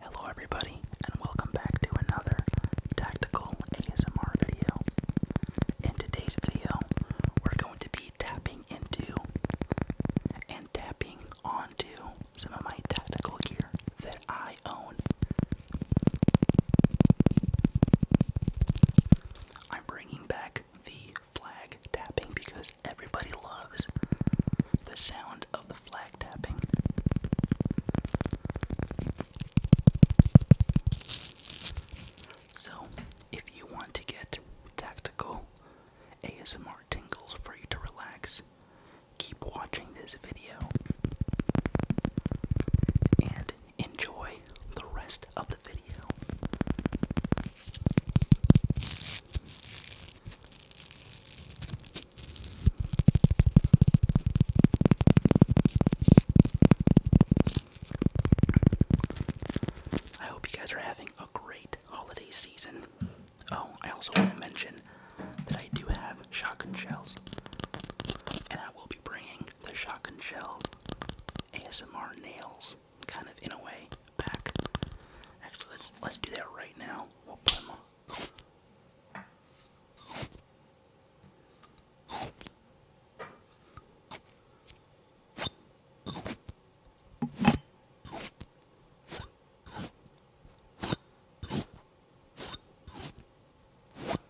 Hello, everybody, and welcome back to another tactical ASMR video. In today's video, we're going to be tapping into and tapping onto some of my tactical gear that I own. I'm bringing back the flag tapping because everybody loves the sound of the flag tapping. So, if you want to get tactical ASMR tingles for you to relax, keep watching this video. And enjoy the rest of the video. I hope you guys are having a great holiday season. Oh, I also want to mention that I do have shotgun shells, and I will be bringing the shotgun shell ASMR nails kind of in a way back. Actually, let's let's do that right now.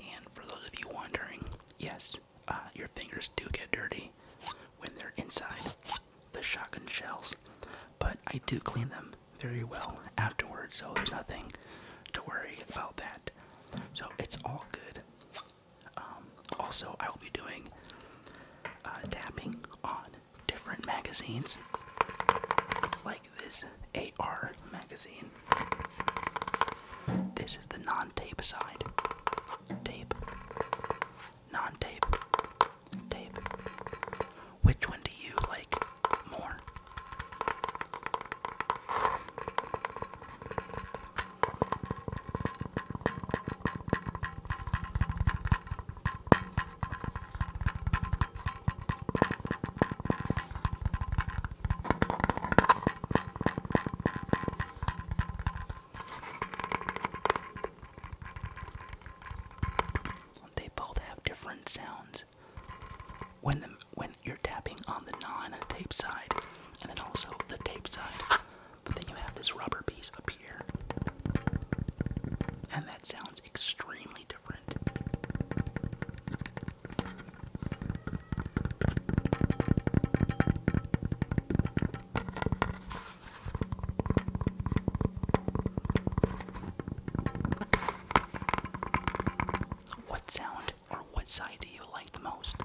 And for those of you wondering, yes, uh, your fingers do get dirty when they're inside the shotgun shells, but I do clean them very well afterwards, so there's nothing to worry about that. So it's all good. Um, also, I will be doing uh, tapping on different magazines. Like like this AR magazine. This is the non tape side. Tape. Non tape. Tape. Which one do you like more? They both have different sounds when the, when you're tapping on the non-tape side, and then also the tape side. But then you have this rubber piece up here, and that sounds extremely different. What sound or what side do you like the most?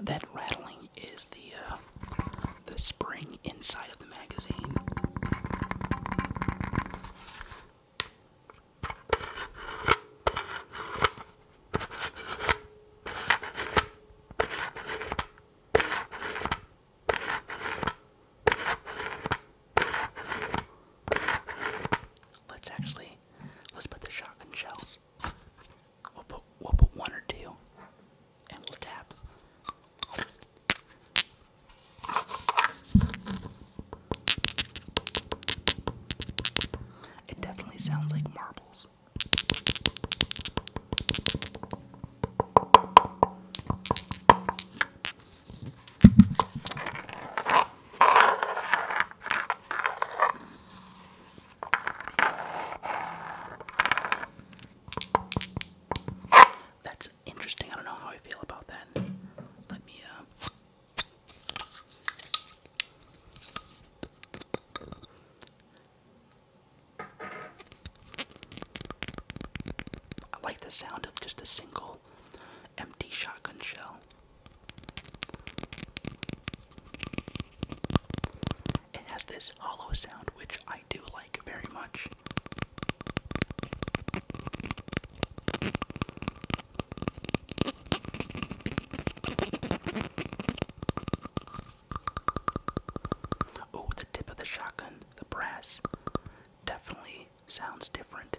That rattling is the uh, the spring inside of the magazine. Let's actually let's put the shotgun shells. We'll put we'll put one or two and we'll tap. It definitely sounds like marbles. That's interesting. I don't know how I feel about that. Let me, uh. I like the sound of just a single empty shotgun shell. It has this hollow sound, which I do like very much. Oh, the tip of the shotgun the brass definitely sounds different.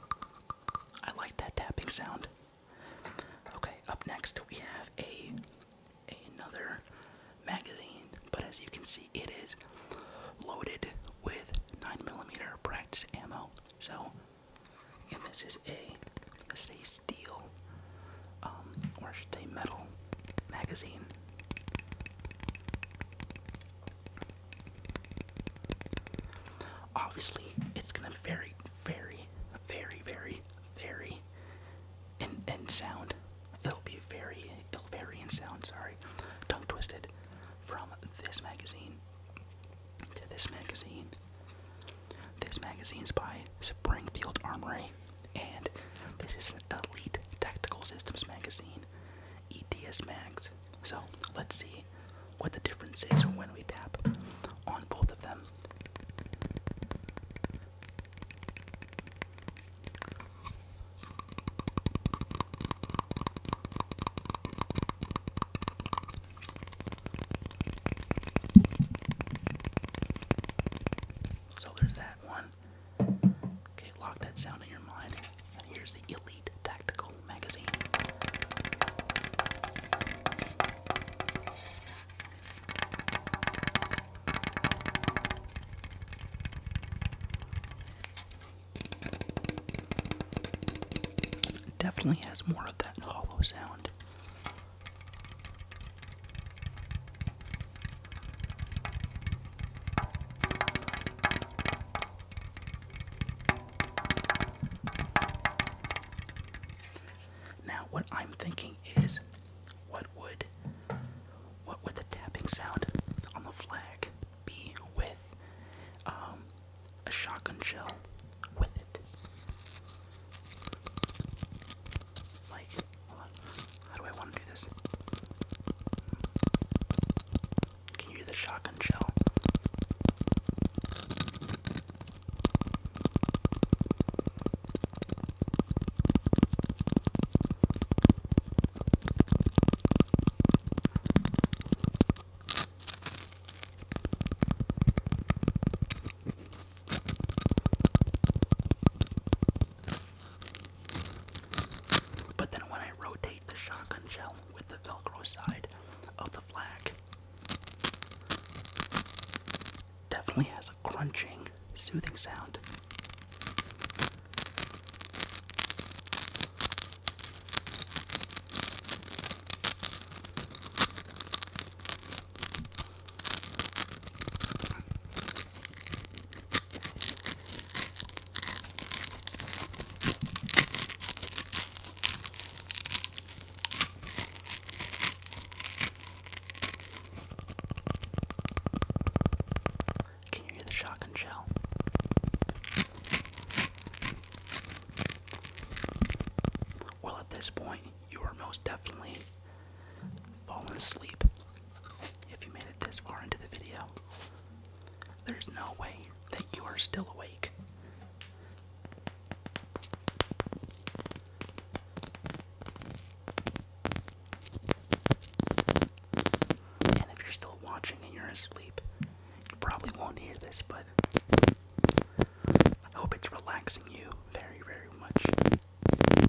I like that tapping sound. Okay, up next we have a another magazine, but as you can see, it is loaded with 9 millimeter practice ammo. So, and this is a this is a steel, um, or should I say metal magazine. Obviously, it's gonna vary, very, very, very, very in in sound. It'll be very, it'll vary in sound. Sorry, tongue twisted. From this magazine to this magazine. This magazine is by Springfield Armory, and this is an Elite Tactical Systems magazine. ETS Mags so let's see what the difference is when we tap on both of them. So there's that one. Okay, lock that sound in your mind. here's the Elite Tactical Magazine. definitely has more of that hollow sound. Now what I'm thinking is what would what would the tapping sound on the flag be with um, a shotgun shell with it? Like how do I want to do this? Can you hear the shotgun shell? But then when I rotate the shotgun shell with the velcro side of the flag, definitely has a crunching, soothing sound. Can you hear the shock shell? Well, at this point, you are most definitely Falling asleep. If you made it this far into the video, there's no way that you are still awake. And if you're still watching and you're asleep, you probably won't hear this, but I hope it's relaxing you very, very much.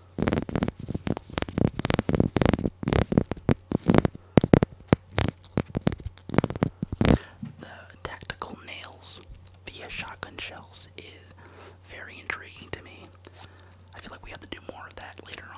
The tactical nails via shotgun shells is very intriguing to me. I feel like we have to do more of that later on.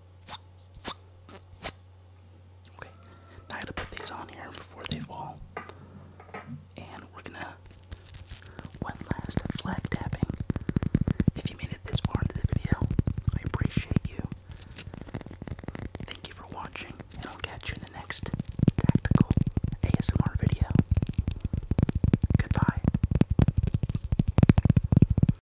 Okay, I gotta put these on here before they fall. And we're gonna one last flag tapping. If you made it this far into the video, I appreciate you. Thank you for watching, and I'll catch you in the next tactical ASMR video. Goodbye.